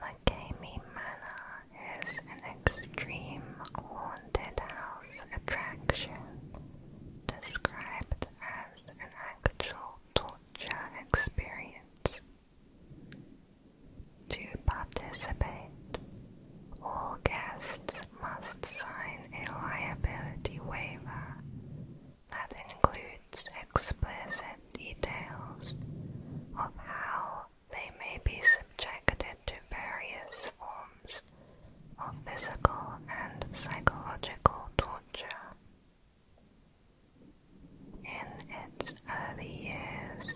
Makami Manor is an extreme haunted house attraction described as an actual torture experience. To participate, all guests must sign a liability waiver that includes explicit details of how they may be subjected to various forms of physical and psychological torture. In its early years,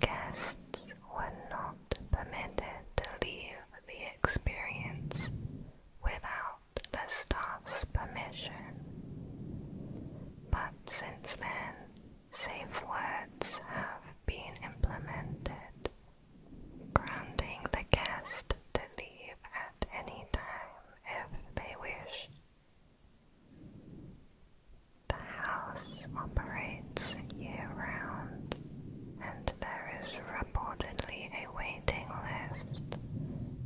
guests were not permitted to leave the experience without the staff's permission. But since then, safe words have been implemented, grounding the guest to leave at any time if they wish. The house operates year round, and there is reportedly a waiting list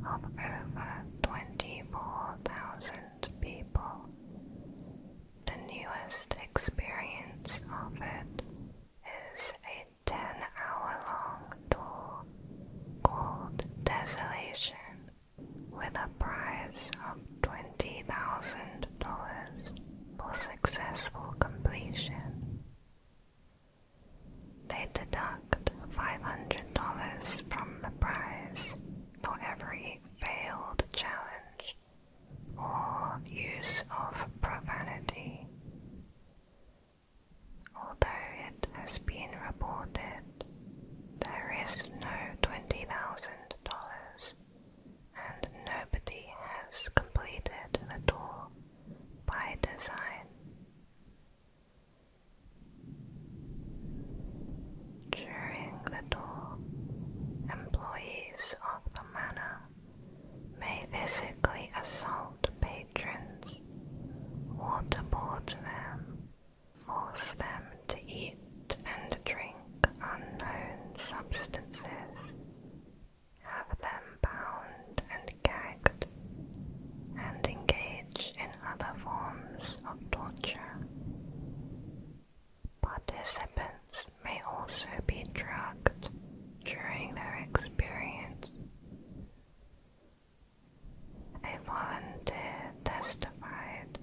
of over 20 54,000 people. The newest experience of it is a 10 hour long tour called Desolation with a prize of $20,000 for successful completion. They deduct $500 from the prize for every failed challenge or use of profanity. Although it has been reported there is no $20,000 and nobody has completed the tour by design. During the tour, employees of the manor may physically assault patrons, waterboard them, force them to eat and drink unknown substances, have them bound and gagged, and engage engage in other forms of torture. Participants may also be drugged during their experience. A volunteer testified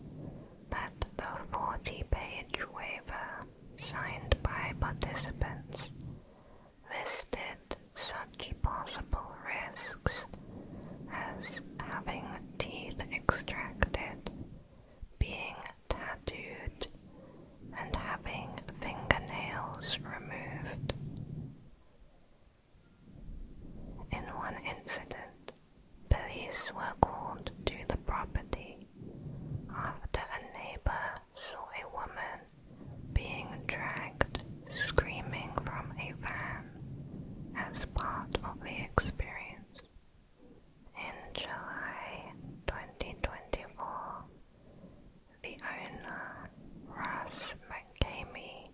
that the 40 page waiver signed by participants listed possible risks as having teeth extracted, being tattooed, and having fingernails removed. In one incident, police were called to the property after a neighbor saw a woman being dragged screaming from a van as part of the experience. In July 2024, the owner, Russ McCamey,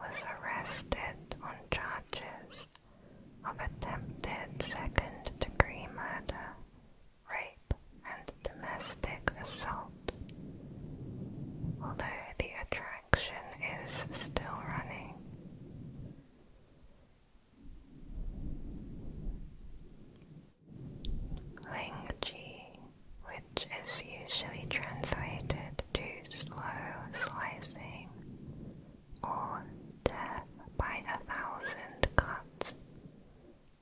was arrested on charges of attempted second degree murder, rape, and domestic assault. Although the direction is still running. Langji, which is usually translated to slow slicing or death by a thousand cuts,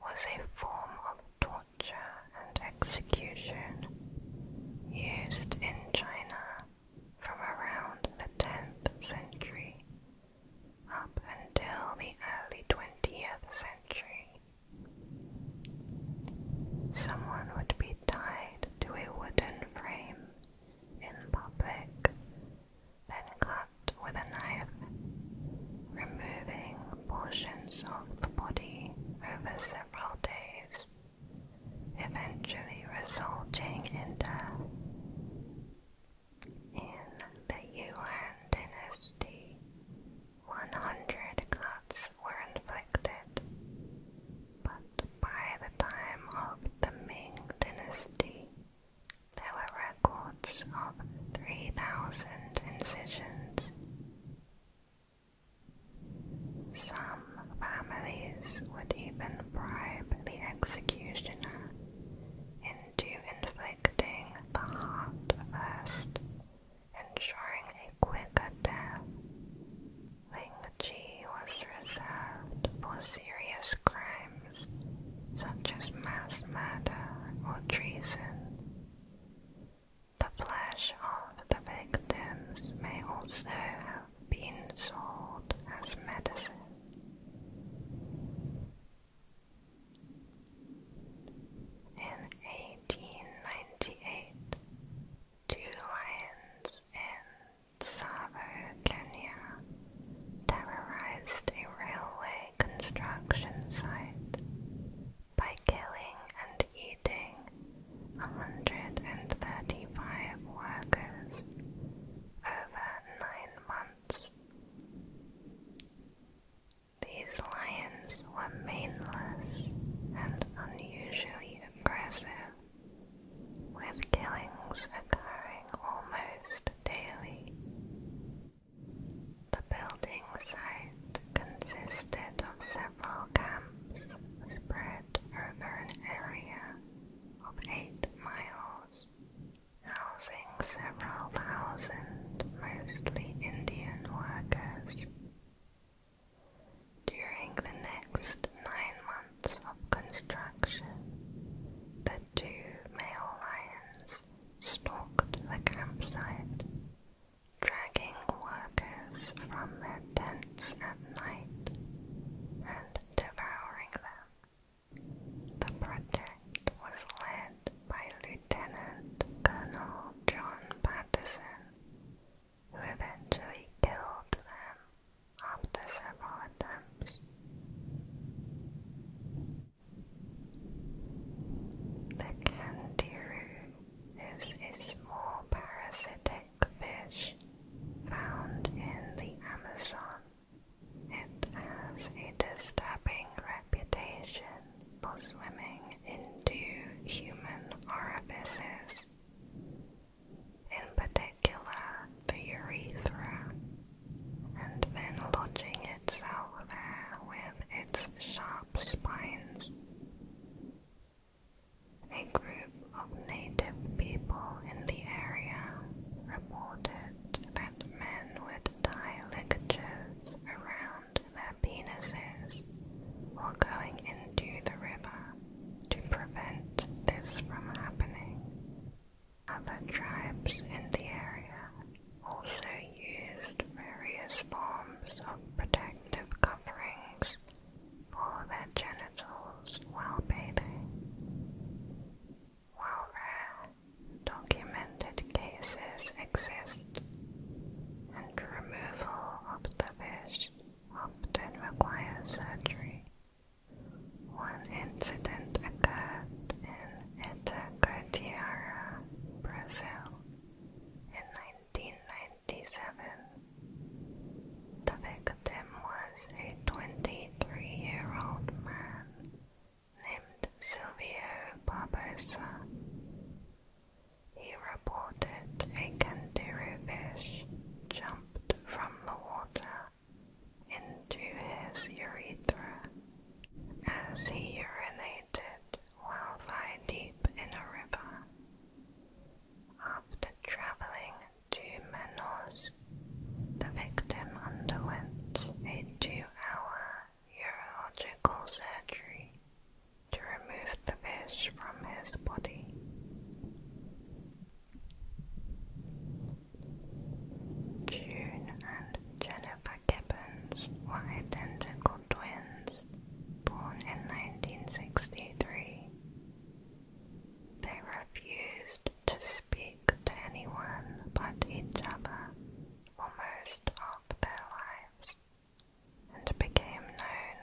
was a form of torture and execution used in in China from around the 10th century up until the early 20th century. Someone would be tied to a wooden frame in public, then cut with a knife, removing portions of the body over several days eventually resulting in death. In the Yuan dynasty, 100 cuts were inflicted, but by the time of the Ming dynasty, there were records of 3,000 incisions. Some families would even bribe the executioner into inflicting the heart first, ensuring a quicker death. Ling Ji was reserved for serious crimes such as mass murder or treason. The flesh of the victims may also been sold as medicine. In 1898, two lions in Tsavo, Kenya, terrorized a railway construction site by killing and eating 135 workers over nine months. These lions were maneless and unusually aggressive, with killings occurring almost daily. The building site consisted of several camps spread moderate urban area of 8 miles, housing several thousand mostly Indian workers. During the next nine months of construction, the two male lions stalked the campsite, dragging workers from their tents night and devouring them. The project was led by Lieutenant Colonel John Patterson, who eventually killed them after several attempts. The candiru is small parasitic aquatic fish found in the Amazon. It has a disturbing reputation for swimming into human orifices, in particular the urethra, and then lodging itself there with its sharp spines. A group of native people in the area reported that men would tie ligatures around their penises while going into the river to prevent this from happening. Other tribes in the area also used various forms of protective coverings for their genitals while bathing. rare, documented cases exist, and removal of the fish often requires surgery. One incident occurred in Itacatiara, Brazil, in 1990. 1997. The victim was a 23-year-old man named Silvio Barbosa. He reported a kanduru fish jumped from the water into his urethra as he urinated while thigh deep in a river. After traveling Menors, the victim underwent a two-hour urological surgery to remove the fish from his body. June and Jennifer Gibbons were identical twins born in 1963. They refused to speak to anyone but each other for most their lives and became known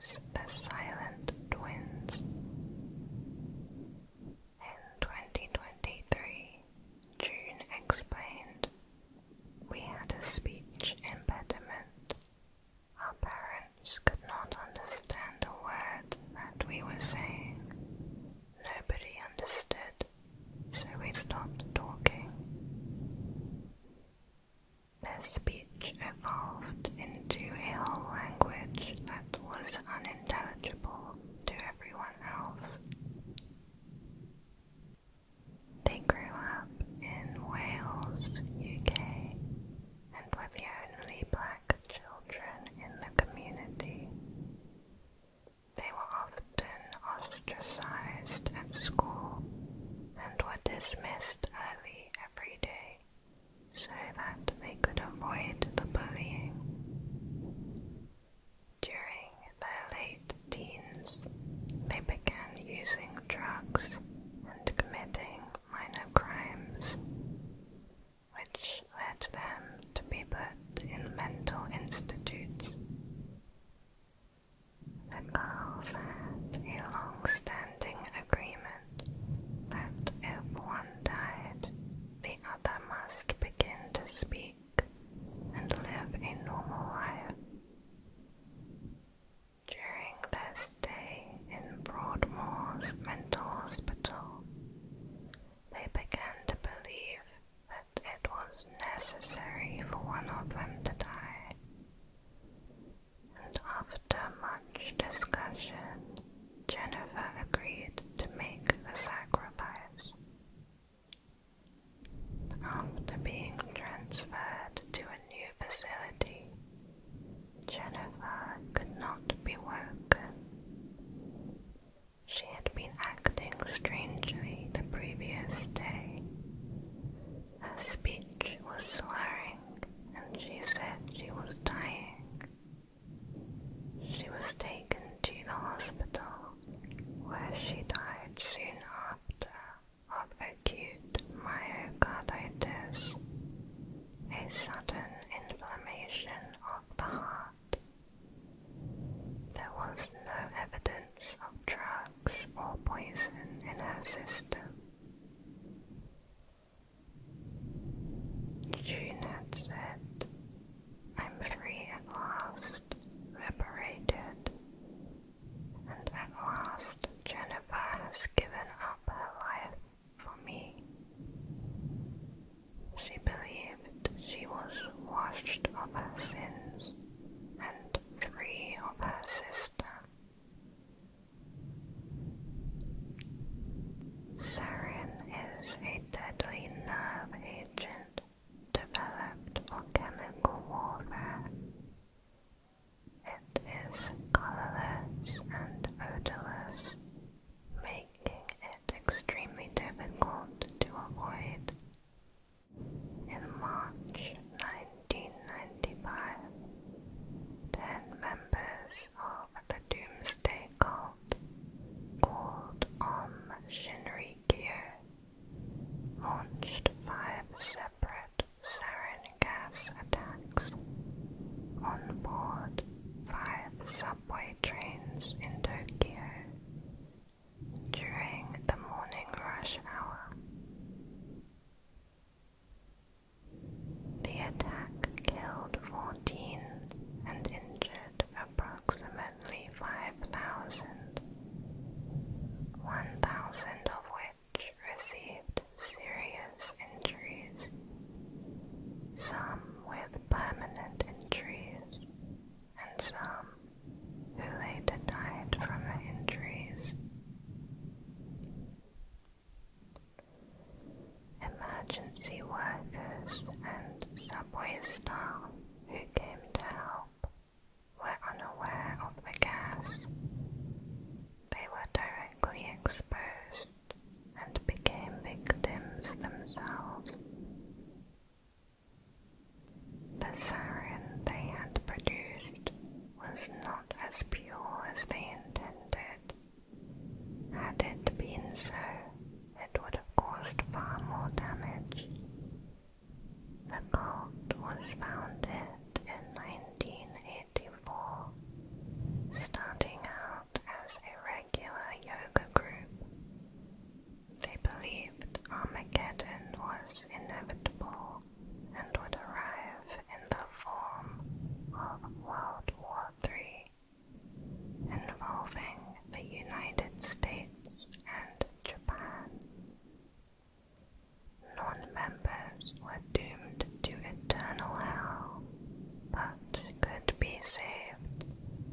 as the Silent Twins. In 2023, June explained, We had a speech impediment our parents could not understand a word that we were saying. Nobody understood, so we stopped talking. Their speech evolved into a whole language that was unintelligible to everyone else. They grew up in Wales, UK, and were the only black children in the community. They were often ostracized at school and were dismissed early every day so that they could avoid the bullying. During their late teens, they began using drugs and committing minor crimes, which led them to be put in mental institutes. The girls had a long-standing agreement that if one died, the other must begin to speak and live a normal life. During their stay in Broadmoor's mental hospital, they began to believe that it was necessary for one of them to die. And after much discussion, Jennifer agreed to make the sacrifice. After being transferred to a new facility, Jennifer could not be woken. She had been acting strangely the previous day. Her speech was slurring, and she said she was dying. She was taken to the hospital, where she died soon after of acute myocarditis a sudden inflammation of the heart. There was no evidence of drugs or poison in her system. June said, I'm free at last, liberated, and at last Jennifer has given up her life for me. She believed she was washed of her sins and free of her sister. Sarin is a deadly nerve agent developed for chemical warfare. It is colorless and odorless, making it extremely difficult to avoid. In March 1995, ten members of the Doomsday Cult called on Shinrikyo launched five separate sarin gas attacks on board five subway trains in Tokyo during the morning rush hour. The attack killed 14 and injured approximately 5,000, 1,000 of which received serious injuries, some with permanent injuries, and some who later died from her injuries. Emergency workers and subway staff who came to help were unaware of the gas. They were directly exposed and became victims themselves. The sarin they had produced was not as pure as they intended. Had it been so, it would have caused far more damage. The cult was founded in 1984, starting out as a regular yoga group. They believed Armageddon was inevitable and would arrive in the form of World War III, involving the United States and Japan. Non members sinners were doomed to eternal hell, but could be saved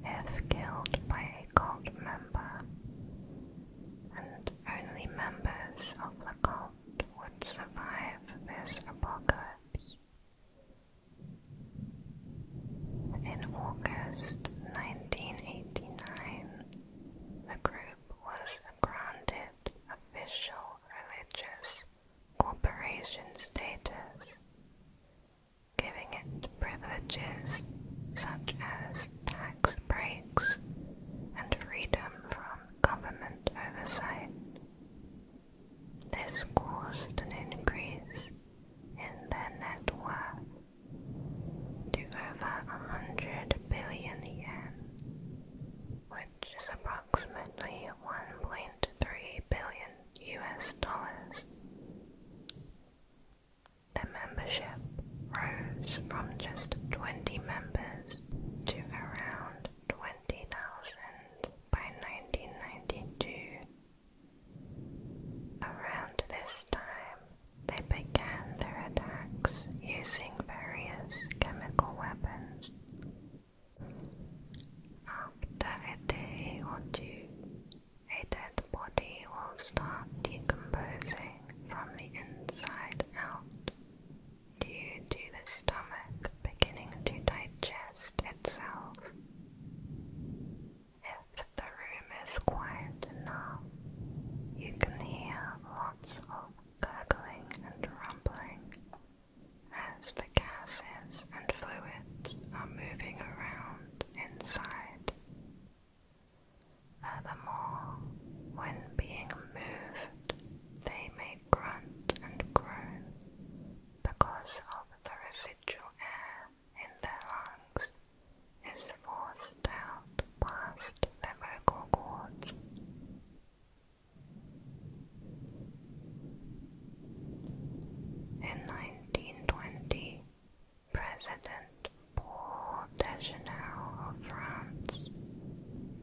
if killed by a cult member, and only members of the cult would survive this apocalypse. In August 1989, the group was granted official religious corporation status, giving it privileges such as tax breaks and freedom from government oversight. This caused an increase in their net worth to over 100 billion yen, which is approximately 1.3 billion US dollars. The membership rose from just 20 members to around 20,000 by 1992. Around this time, they began their attacks using various chemical weapons, after a day or two, a dead body will start decomposing from the inside out due to the stomach beginning to digest itself. If the room is quiet enough, you can hear lots of gurgling and rumbling as the gases and fluids are moving around inside. Furthermore, when being moved, they may grunt and groan because of the residual air in their lungs is forced out past the vocal cords. In 1920, President Paul Dejanel of France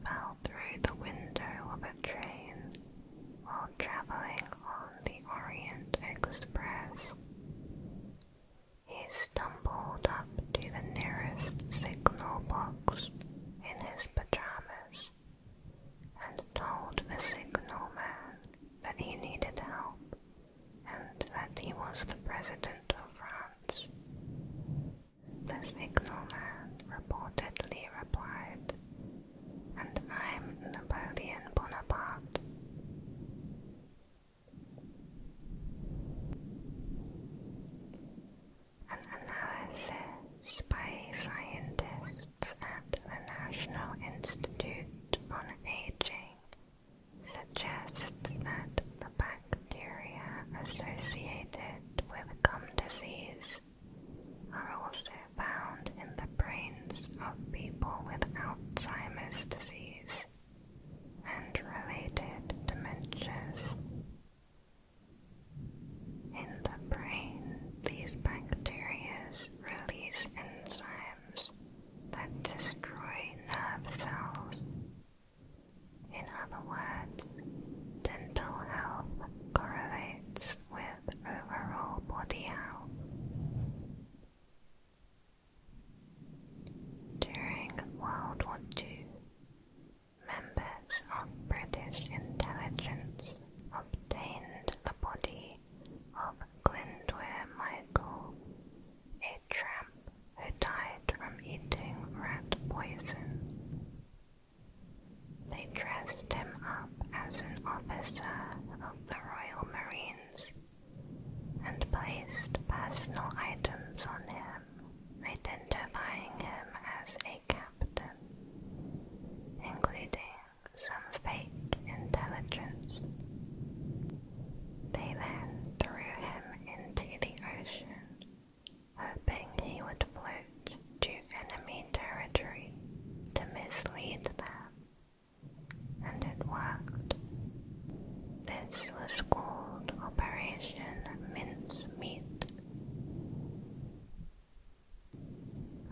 fell through the window of a train while traveling on the Orient Express. He stumbled up to the nearest signal box in his pajamas and told the signal man that he needed help and that he was the president of France. The signalman reportedly replied, and I'm Napoleon Bonaparte. An analysis by scientists at the National Institute on Aging suggests that the bacteria associated with gum disease are also found in the brains of people with Alzheimer's disease and related dementias. In the brain, these bacteria release enzymes that destroy nerve cells. In other words, dental health correlates with overall body health. During World War II, members of British intelligence obtained the body of Glindwer Michael, a tramp who died from eating rat poison. They dressed him up as an officer of the Royal Marines and placed personal items on him, identifying him as a captain, including some fake intelligence. They then threw him into the ocean, hoping he would float to enemy territory to mislead them. And it worked. This was called Operation Mince Meat.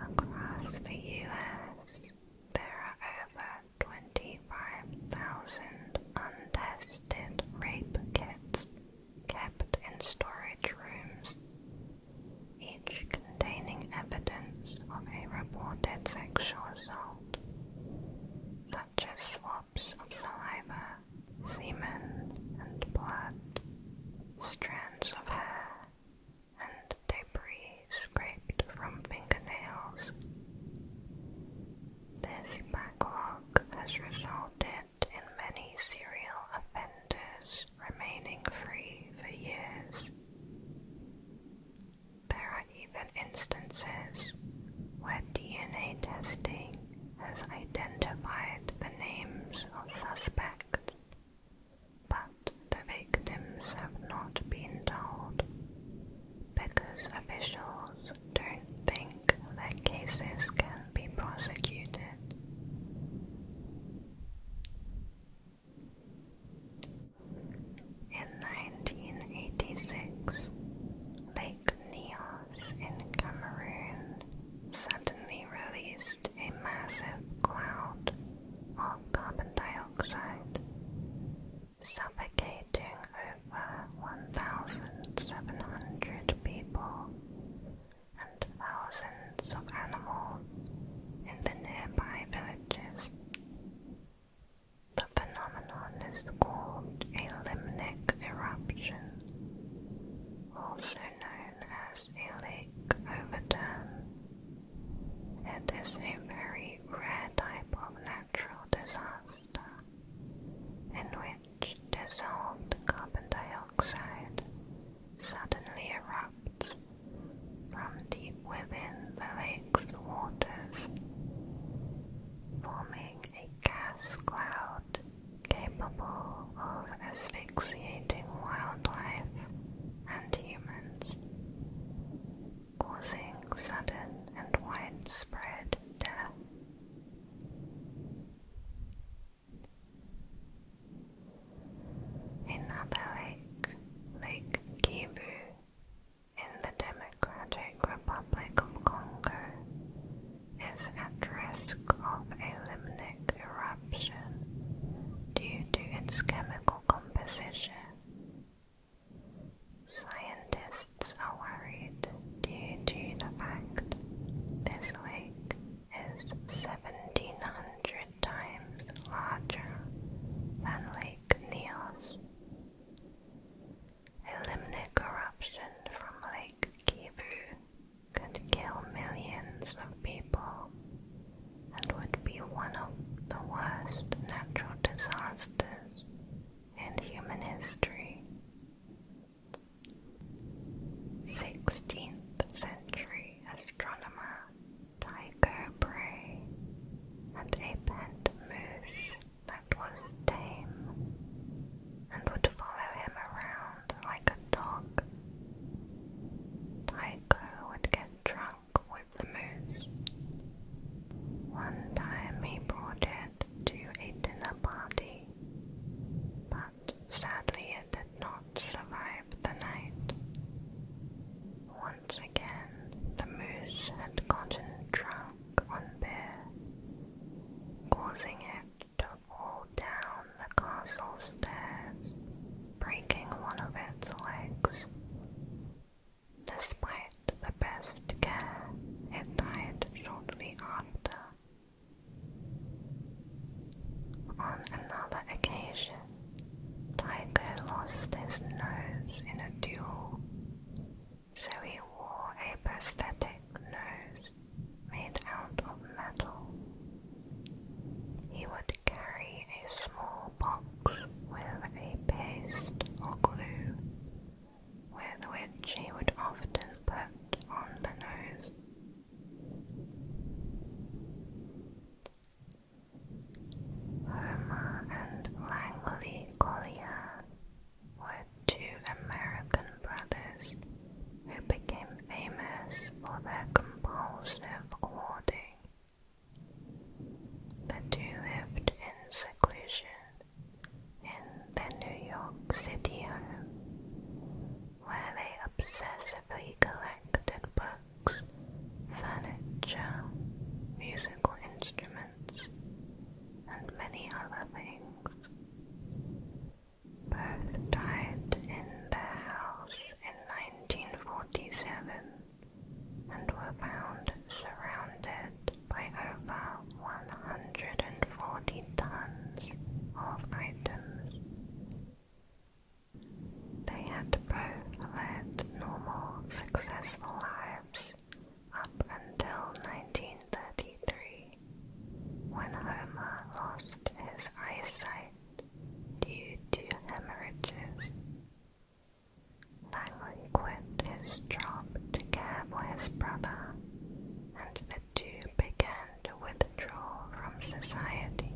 Across the U.S., there are over 25,000 untested rape kits kept in storage rooms, each containing evidence of a reported sexual assault, such as swabs of saliva, semen and blood, strands of hair, and debris scraped from fingernails. This backlog has resulted in many serial offenders remaining free for years. There are even instances where DNA testing has identified the names of suspects but the victims have not been told because officials don't think that cases can be prosecuted. In 1986, Lake Neos in Cameroon suddenly released a massive cloud of carbon dioxide, suffocating over 1,700 people and thousands of animals in the nearby villages. The phenomenon is called a limnic eruption, also known as a lake Overton. It is a very rare type of natural disaster in which dissolved carbon dioxide suddenly erupts from deep within the lake's waters, forming a gas cloud capable of asphyxiating asphyxiating wildlife and humans, causing sudden and widespread death. Another lake, Lake Kivu, in the Democratic Republic of Congo, is at risk of a limnic eruption due to its chemical composition. Scientists are worried due to the fact this lake is 1700 times larger than Lake Neos. Eliminate corruption from Lake Kivu could kill millions of people and would be one of the worst natural disasters in human history. 16th century astronomer Tycho Brahe had a pet moose that was tame and would follow him around like could talk. Tycho would get drunk with the moose. One time he brought it to a dinner party, but sadly it did not survive the night. Once again, the moose had gotten drunk on beer, causing it to fall down the castle's stairs, breaking one of its legs. Despite the best care, it died shortly after. On another occasion, Tycho lost his nose in a duel, so he wore a prosthetic nose made out of metal he would carry a small box with a paste or glue, with which he would often put on the nose. Homer and Langley Collier were two American brothers who became famous for their compulsive hoarding the two lived in seclusion in their New York City home, where they obsessively collected books, furniture, musical instruments, and many other things. Both died in their house in 1947 and were found surrounded by over 140 tons of items. They had both led normal, successful lives up until 1933, when Homer lost his eyesight due to hemorrhages. Langley quit his job to care for his brother, and the two began to withdraw from society.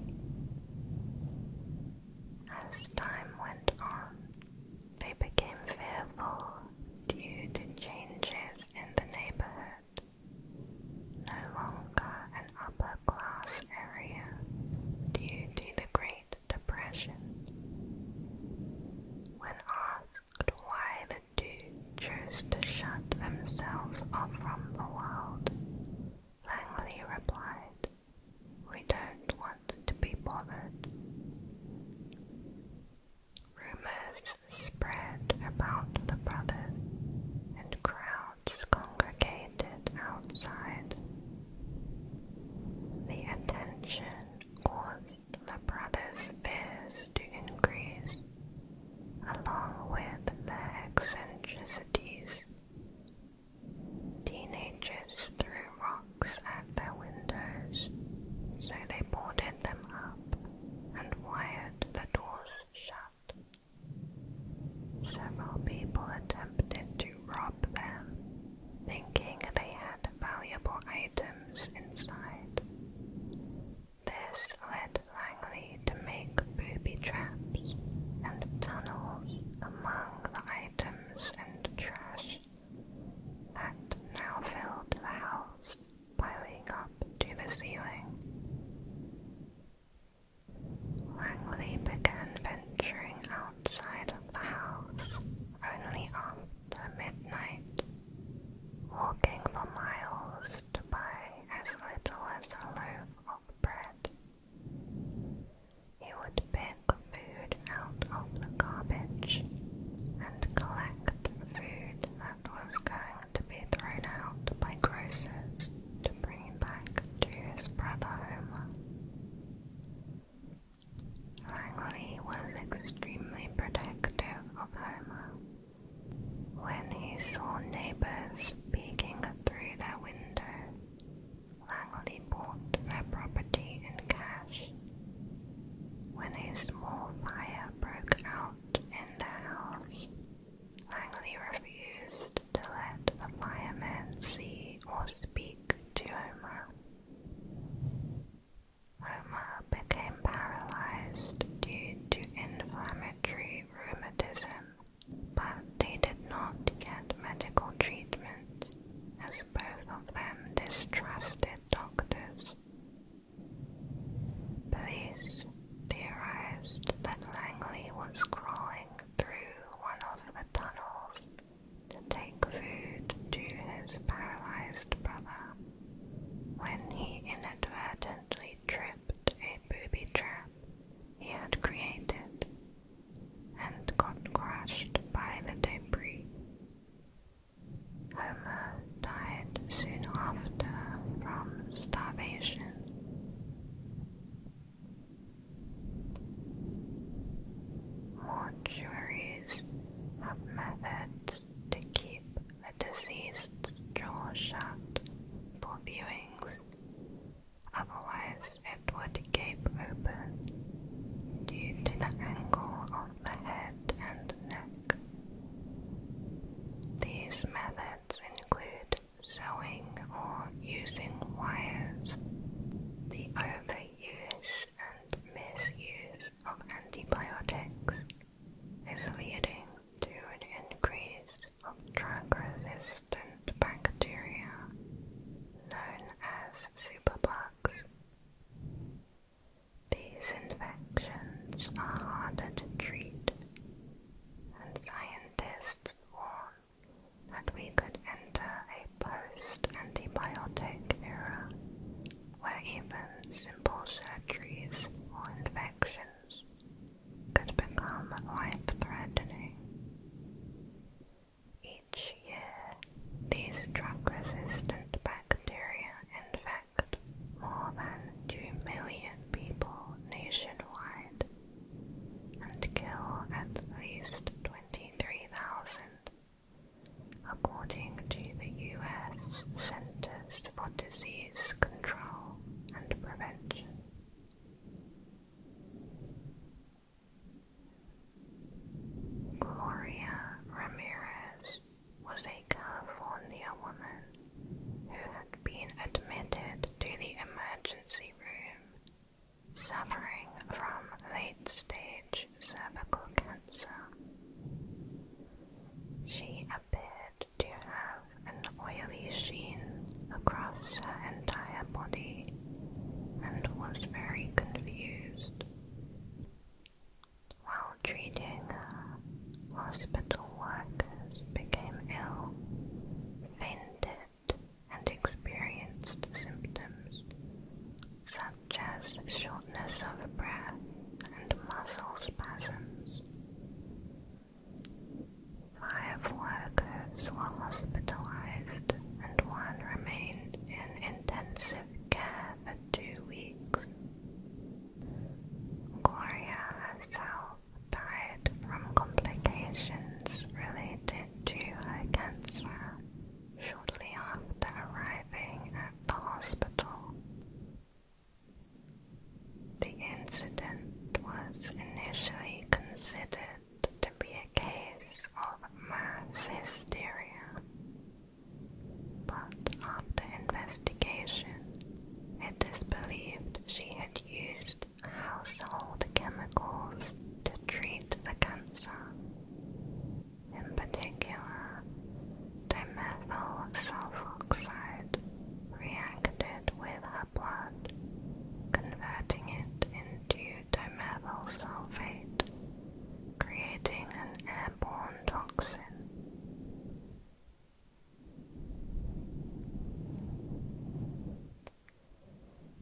As time went on, they became fearful due to changes in the neighborhood. No longer upper class area due to the Great Depression. When asked why the two chose to shut themselves off from the world, Langley replied, We don't want to be bothered. Rumors spread about the brothers, and crowds crowds congregated outside. The attention caused the brothers' fears to increase, along with their eccentricities. Teenagers threw rocks at their windows, so they boarded them up and wired the doors shut. Several people attempted to rob them, thinking they had valuable items inside. This led Langley to make booby traps and tunnels among the items and trash that now filled the house, piling up to the ceiling. Langley began venturing outside of the house only after midnight, walking for miles to buy as little as a loaf of bread. He would pick food out of the garbage and collect food that was going to be thrown out by grocers to bring him back to his brother Homer. Langley was extremely protective of Homer. When he saw neighbors peeking through their window, Langley bought their property in cash. When a small fire broke out in their house, Langley refused to let the fireman see or speak to Homer. Homer became paralyzed due to inflammatory rheumatism, but they did not get medical treatment as both of them distrusted doctors. Police theorized that Langley was crawling through one of the tunnels to take food to his paralyzed brother when he inadvertently tripped a booby trap he had created and got crushed by the debris. Homer died soon after from starvation. Mortuaries have methods to keep the deceased's jaw shut for viewings, otherwise it would gape open due to the angle of the head and neck. These methods include sewing or using wires. The overuse and misuse of antibiotics is leading to an increase of drug-resistant bacteria known as superbugs. These infections are harder to treat, and scientists warn that we could enter a post-antibiotic era where even simple surgeries or infections could become life-threatening. Each year, these drug-resistant bacteria infect more than 2 million people nationwide, and kill at least 23,000, according to the U.S. Centers for Disease Control and Prevention. Gloria Ramirez was a California woman who had been admitted to the emergency room suffering from late stage cervical cancer. She appeared to have an oily sheen across her entire body and was very confused. While treating her, hospital workers became ill, fainted, and experienced symptoms such as shortness of breath and muscle spasms. Five workers were hospitalized and one remained in intensive care for two weeks. Gloria herself died from complications related related to her cancer shortly after arriving at the hospital. The incident was initially considered to be a case of mass hysteria, but after investigation, it is believed she had used household chemicals to treat the cancer. In particular, dimethyl sulfoxide reacted with her blood, converting it into dimethyl sulfate, creating an airborne toxin.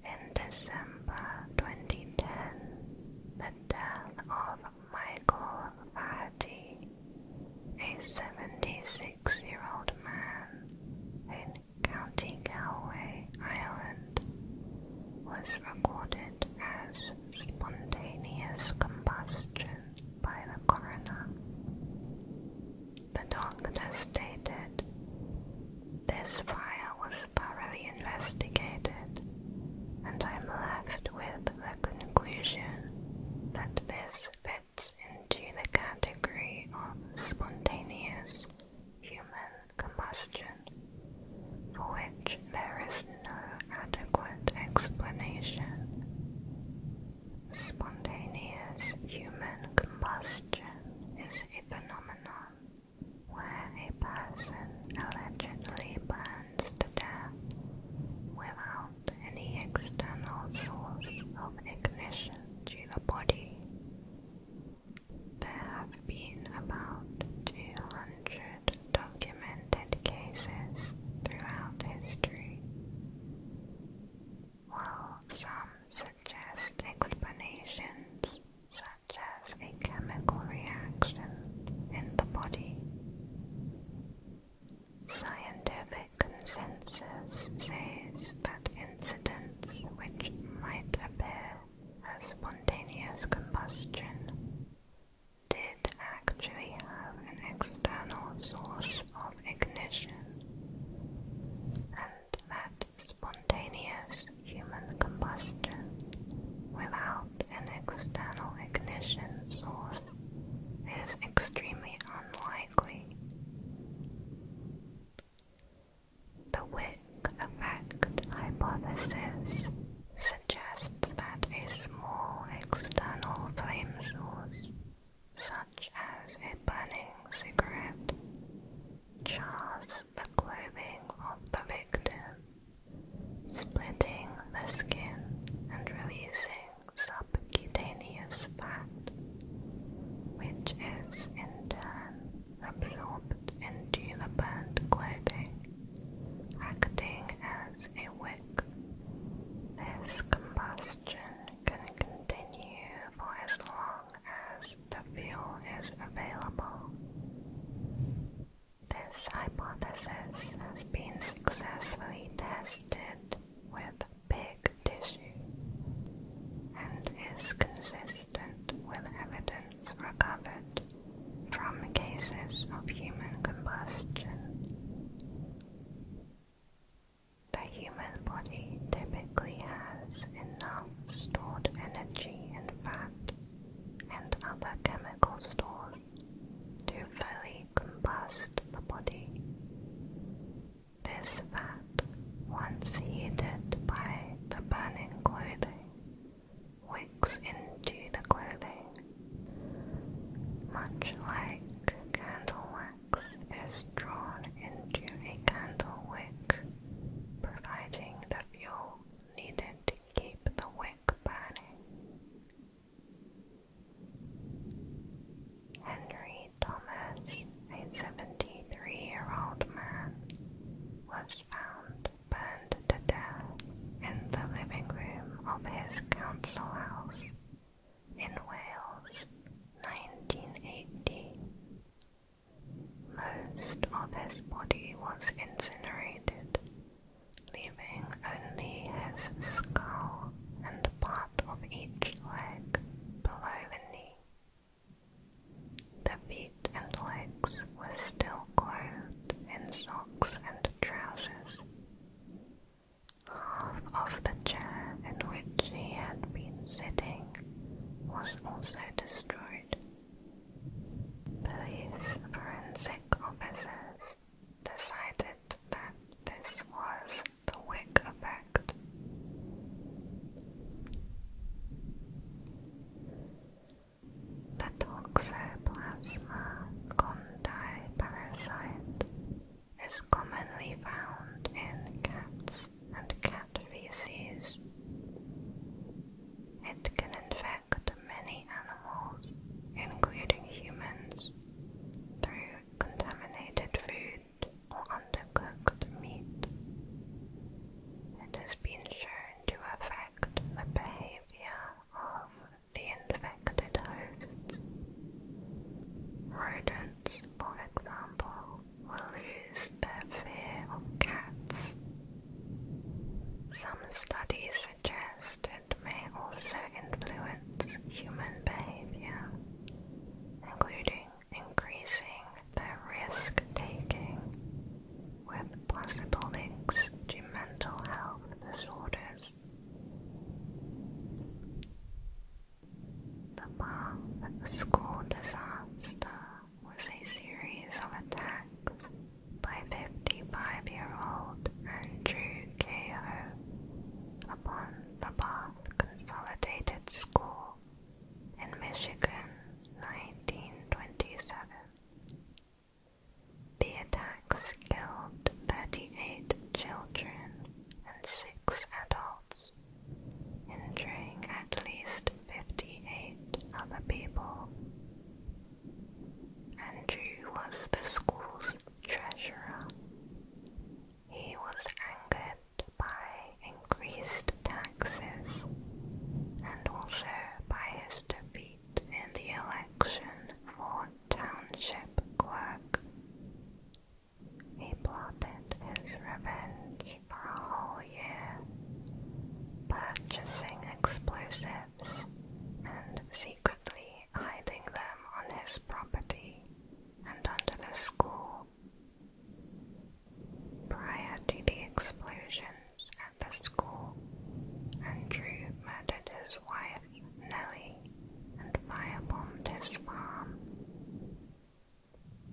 In December 2010, the death of Michael Faraday, a 76-year-old man in County Galway, Ireland, was recorded as spontaneous combustion by the coroner. The doctor stated this fire was thoroughly investigated, and I'm left with the conclusion that this fits into the category of spontaneous human combustion, for which there is no adequate explanation. Spontaneous human combustion is a phenomenon where a person allegedly burns to death without any external source of ignition to the body. There have been about 200 documented cases throughout history. While some suggest explanations such such a chemical reaction in the body. Scientific consensus says that incidents which might appear as spontaneous combustion did actually have an external source of ignition, that spontaneous human combustion without an external ignition source is extremely unlikely. The Wick effect hypothesis suggests that a small external flame source, such as a burning cigarette, chars the clothing of the victim, splitting the skin and releasing subcutaneous fat, which is in turn absorbed into the burnt clothing, acting as a wick. This combustion can continue for as long as the fuel is available. This hypothesis has been successfully tested with pig tissue and is consistent with evidence recovered from cases of human combustion. The human body typically has enough stored energy and fat, and other chemical stores to fully combust the body. This fat, once heated by the burning clothing, wicks into the clothing. Much like candle wax is drawn into a candle wick, providing the fuel needed to keep the wick burning. Henry Thomas, a 73 year old man, was found burned to death in the living room of his council house in Wales, 1980. Most of his body was incinerated, leaving only his skull and the part of each leg below the knee. The feet and legs were still clothed in socks and trousers. Half of the chair in which he had been sitting was also destroyed. Police forensic officers decided that this was the Wick effect. The toxoplasma gondii parasite is commonly found in cats and cat feces. It can infect many animals, including humans, through contaminated food or undercooked meat. It has been shown to affect the behavior of the infected hosts. Rodents, for example, will lose their fear of cats. Some studies suggest it may also influence human behavior, including increasing the risk taking, with possible links to mental health disorders. The Bath School Disaster was a series of attacks by 55-year-old Andrew K.O. upon the Bath Consolidated School in Michigan, 1927. The attacks killed 38 children and 6 adults, injuring at least 58 other people. Andrew was the school's treasurer. He was angered by increased taxes and also by his defeat in the election for township clerk. He plotted his revenge for a whole year, purchasing explosives and secretly hiding them on his property and under the school. Prior to the explosions at the school, Andrew murdered his wife, Nellie, and firebombed his farm.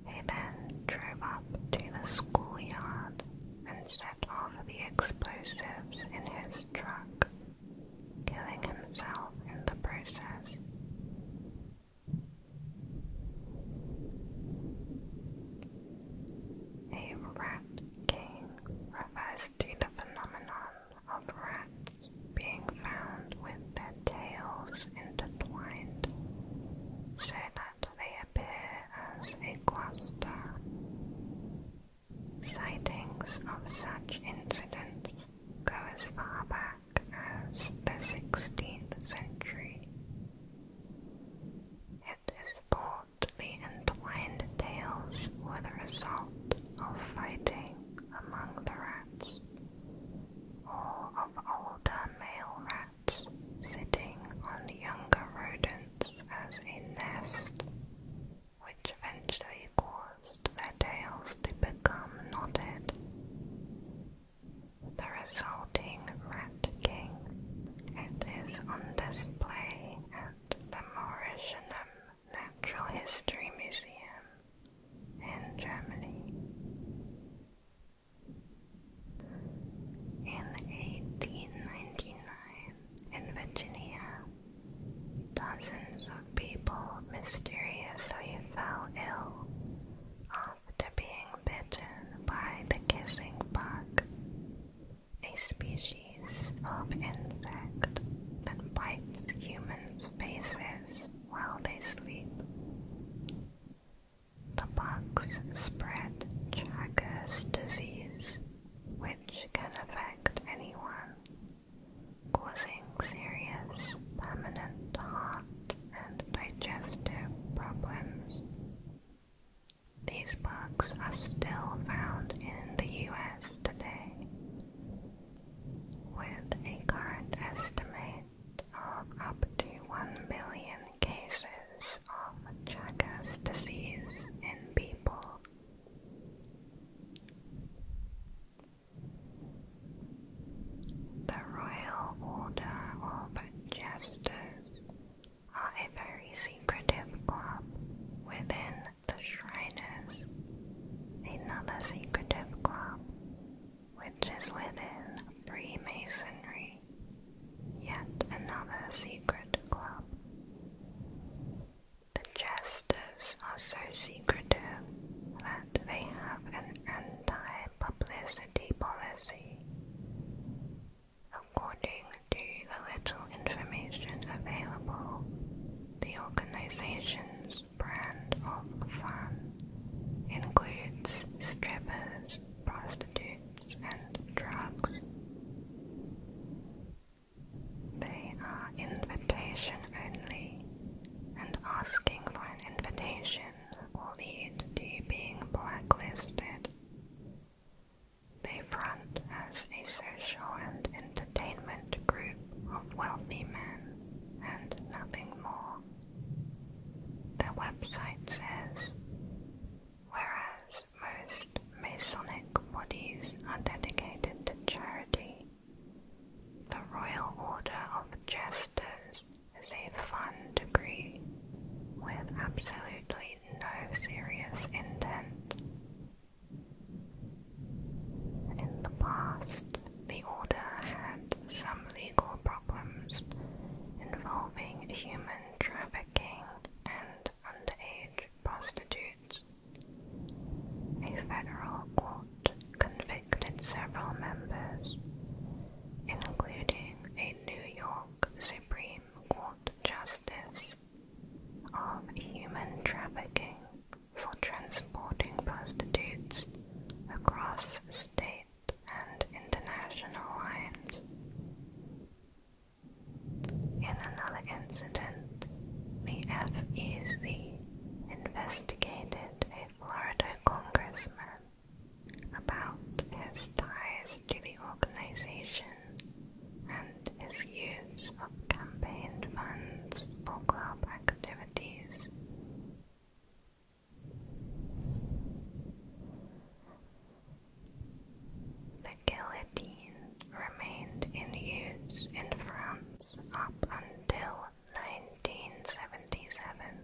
He then drove up to the schoolyard and set off the explosives in his truck, killing himself in the process. A rat king refers to the phenomenon of rats being found with their tails intertwined so that they appear as a cluster. Sightings of such incidents go as far back as the 16th century. It is thought the entwined tails were the result of fighting among the rats, or of old male rats sitting on younger rodents as a nest, which eventually caused their tails to become knotted. The resulting rat king, it is on display at the Mauritianum Natural History Museum in Germany. In 1899, in Virginia, dozens of people mysteriously fell ill after being bitten by the kissing bug, a species of insect that bites humans' faces while they sleep. The bugs spread Chagas disease, which can affect anyone, causing serious permanent heart and digestive problems. These bugs are still found in the US today, with a current estimate of up to 1 million cases of Chagas disease in people. The Royal Order of Jesters are a very secretive club within the Shriners, another secretive club which is within Freemasonry. Yet another secret club. The jesters are so secretive that they have an anti publicity policy. According to the little information available, the organization's brand of fun includes strippers, prostitutes, and drugs. They are invitation only, and asking for an invitation will lead to being blacklisted. They front as a social and entertainment group of wealthy men and nothing more. Their website says, Whereas most Masonic bodies are dedicated to charity. The Royal Order of Jesters is a fun degree with absolutely no serious intent. In the past, the Order had some legal problems involving human trafficking and underage prostitutes. A federal court convicted several members, including a New York Supreme Court justice, of human trafficking for transporting prostitutes across state and international lines. In another incident, the F.B.I. investigated a Florida congressman about his ties to the organization and his use of campaign funds for club activities. The guillotine remained in use in France up until 1977.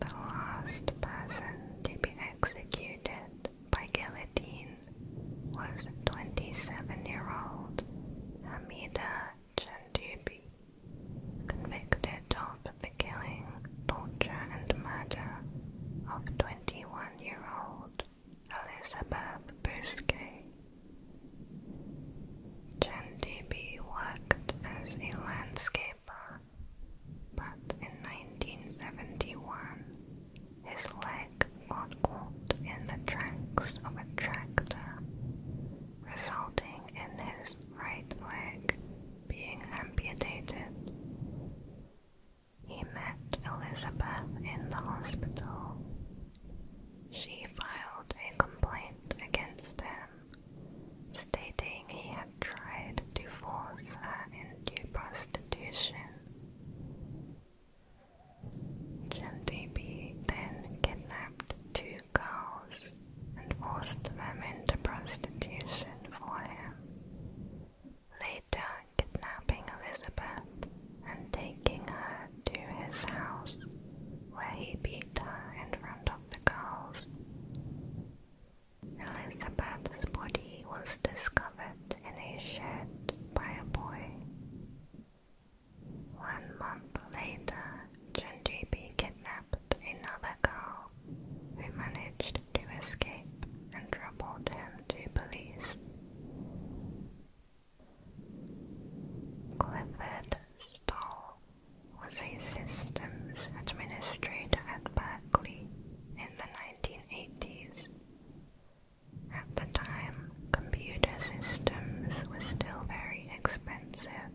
The last person to be executed by guillotine was 27-year-old Hamida Chandoubi, convicted of the killing, torture, and murder of 21 year old Elizabeth Bousquet. Chandibhi worked as a landscaper, but in 1971 his leg got caught in the tracks of a tractor, resulting in his right leg being amputated. He met Elizabeth in the hospital. She filed a complaint against him, stating he had tried to force her into prostitution. Chemdebi then kidnapped two girls and forced them into prostitution for him. Later, kidnapping Elizabeth and taking her to his house, where he beat her in front of the girls. Elizabeth's body was discovered in a shed by a boy. One month later, Gendry be kidnapped another girl who managed to escape and reported him to police. Clifford Stoll was a systems administrator at Berkeley in the 1980s. At the time, computer systems were still very expensive,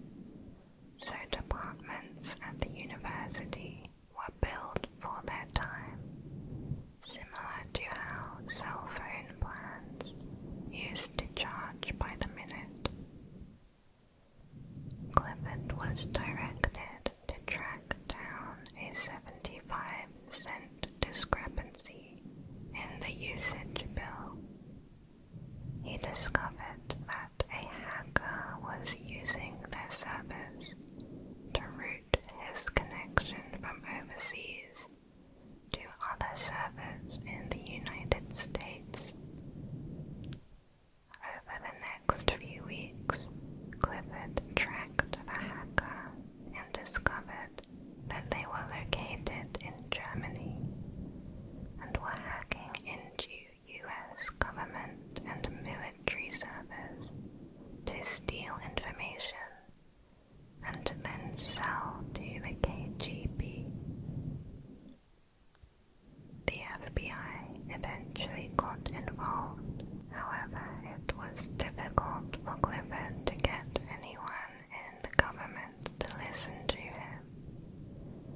so departments at the university were built for that time, similar to how cell phone plans used to charge by the minute. Clifford was directed to track down a 75 cent discrepancy in the usage bill. He discovered that a hacker was using their service to route his connection from overseas to other servers in the United States. Over the next few weeks, Clifford tracked the hacker and discovered that they were located in Germany and were hacking into U.S. government and military service to steal information and then sell to the KGB. The FBI eventually got involved, however, it was difficult for Clifford to get anyone in the government to listen to him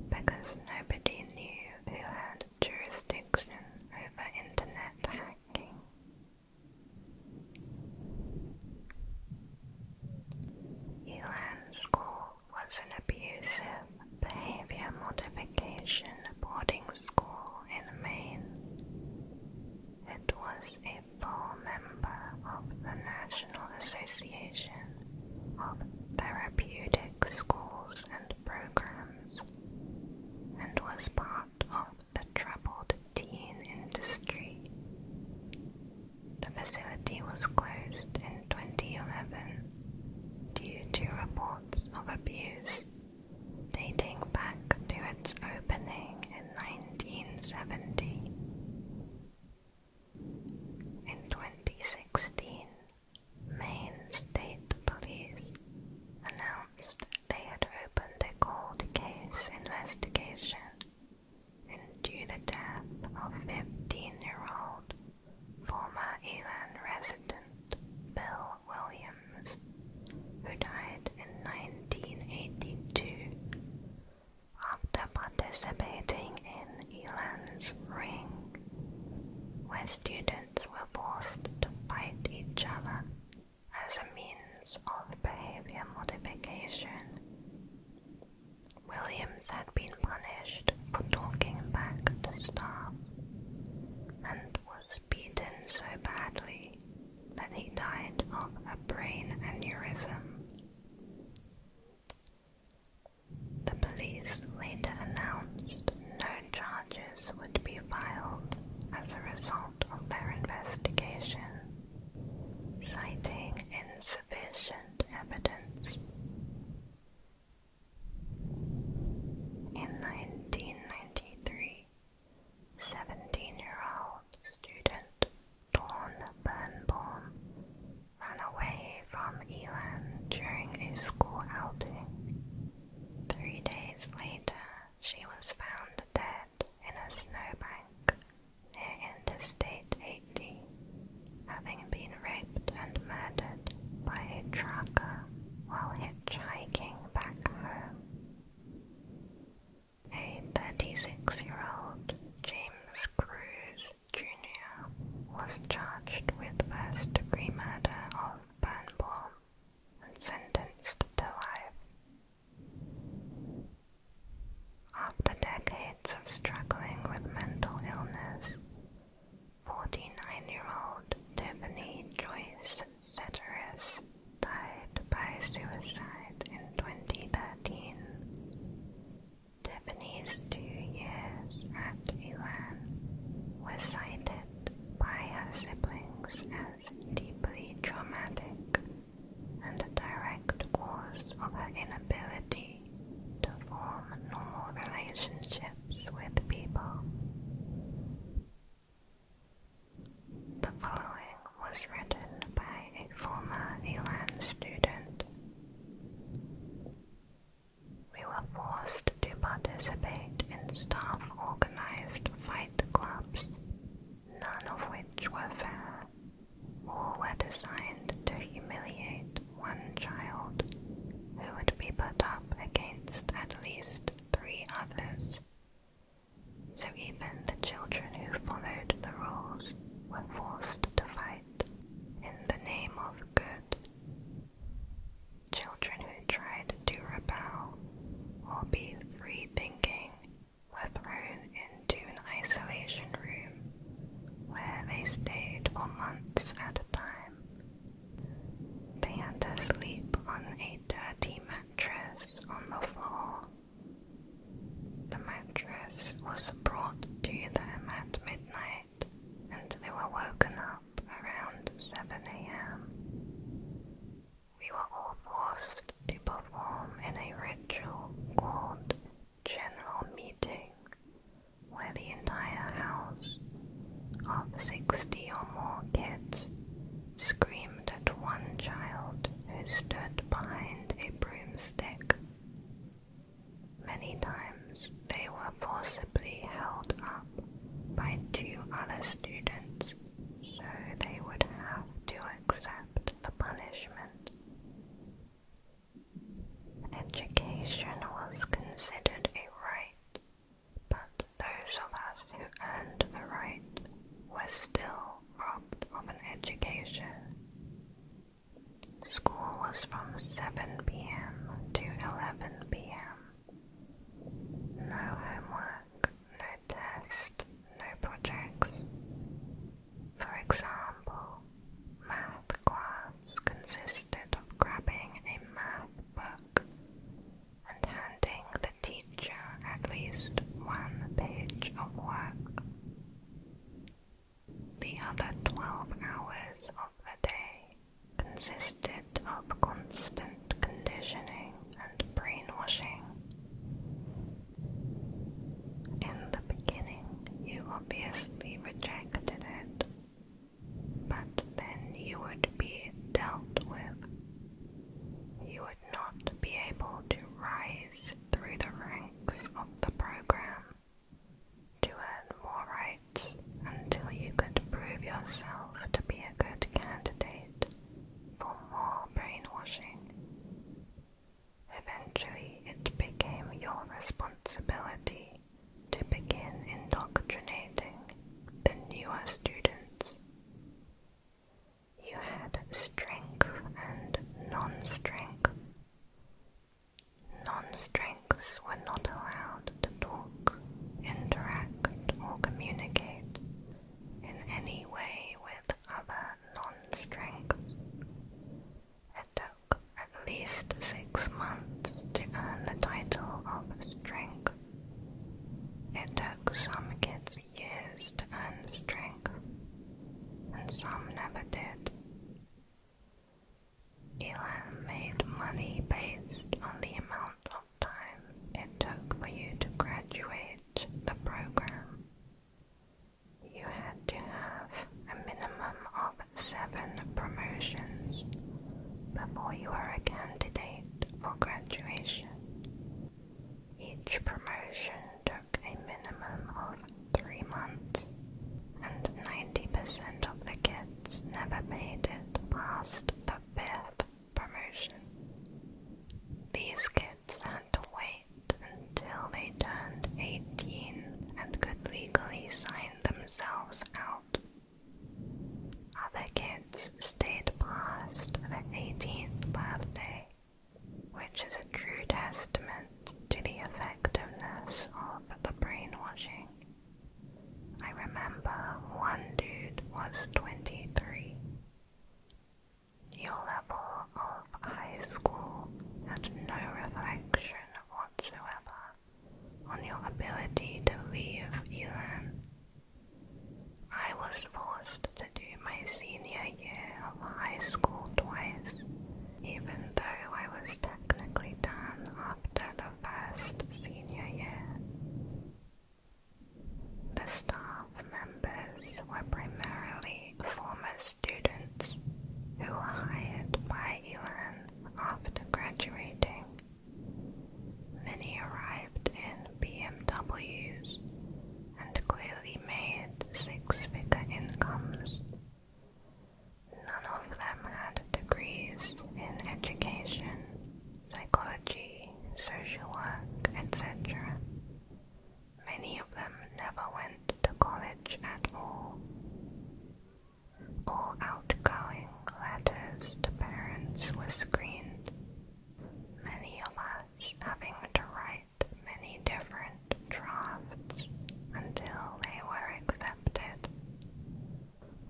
because nobody knew who had jurisdiction over internet hacking. Yuan School was an abusive behavior modification boarding school in Maine. It was a full member of the National Association of Therapeutic Schools and Programs and was part of the troubled teen industry. The facility was closed in 2011 due to reports of abuse dating back to its opening in 1970. In 2016, Maine State Police announced they had opened a cold case investigation into the death of 15-year-old former Elan resident Bill Williams, who died in 1982 after participating in Elan's Ring, where students were forced to fight each other as a means of behavior modification. Williams had been punished for talking back to staff and was beaten so badly that he died of a brain aneurysm. The police later announced no charges would be filed as a result of their investigation, citing insufficient evidence. In 1993, 17-year-old student Dawn Birnbaum ran away from Elan during a school outing. Three days later, she was found dead in a snowbank near Interstate 80, having been raped and murdered by a trucker while hitchhiking back home. A 36 year old James Cruz Jr. was charged with first degree murder of Burnball and sentenced to life. After decades of struggling with mental illness, 49-year-old Tiffany Joyce Ceteris died by suicide in 2013. Tiffany's two years at Elan was cited by her siblings as deeply traumatic and a direct cause of her inability to form normal relationships with people. The following was written by a former Elan student. We were forced to participate in staff-organized fight clubs, none of which were fair. All were designed to humiliate one child, who would be put up against at least three others. So even the children who followed the rules were forced to fight in the name of good. Children who tried to rebel or be free thinking were thrown into an isolation room where they stayed for months at a time. They had to sleep on a dirty mattress on the floor. The mattress was brought to them at midnight and they were woken up around 7 a.m. We were all forced to perform in a ritual called General Meeting, where the entire house of 60 or more kids screamed at one child who stood behind a broomstick. Many times they were forcibly held up by two other students, so they would have to accept the punishment. Education was considered a right, but those of us who earned the right were still robbed of an education. School was from 7 pm to 11 pm. No homework, no tests, no projects. For example, math class consisted of grabbing a math book and handing the teacher at least one page of work. The other 12 hours of the day consisted of constant conditioning and brainwashing. In the beginning, you obviously rejected it, but then you would be dealt with. You would not be able to rise through the ranks of the program to earn more rights until you could prove yourself to be a good candidate for more brainwashing. Eventually, it became your responsibility to begin indoctrinating the newer students. You had strength and non strength. Non strengths were not allowed to talk, interact, or communicate in any way with other non-strengths. It took at least six months to earn the title of strength. It took some kids years to earn strength, and some never did. Elan made money based on the amount of time it took for you to graduate the program. You had to have a minimum of seven promotions before you were a candidate for graduation. Each promotion took a minimum of three months, and 90% of the kids never made it past the fifth these kids had to wait until they turned 18 and could legally sign themselves out. Other kids stayed past their 18th birthday, which is a true testament to the effectiveness of the brainwashing. I remember one dude was 23. Your level of high school had no reflection whatsoever on your ability to leave Elan. I was forced to do my senior year of high school twice, even though I was technically done after the first senior year. The staff members were primarily former students who were hired by Elan after graduating. Many arrived in BMWs and clearly made six-figure incomes. None of them had degrees in education psychology, social work, etc. Many of them never went to college at all. All outgoing letters to parents were screened, many of us having to write many different drafts until they were accepted.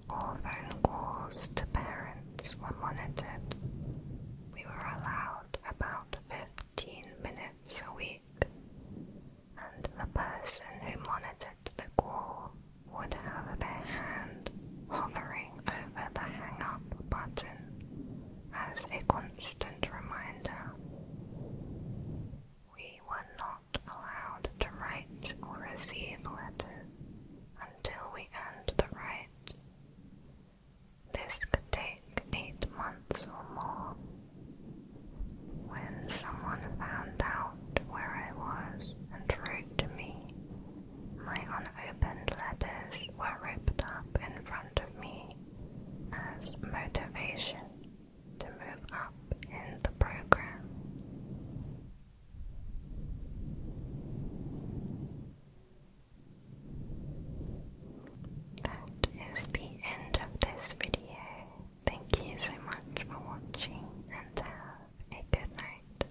All phone calls to parents were monitored. We were allowed about 15 minutes a week, and the person who monitored the call would have their hand hovering over the hang up button as a constant reminder. We were not allowed to write or receive letters until we earned the right this could take eight months or more. When someone found out where I was and wrote me, my unopened letters were ripped up in front of me as motivation to move up in the program. That is the end of this video. Thank you so much for watching and have a good night.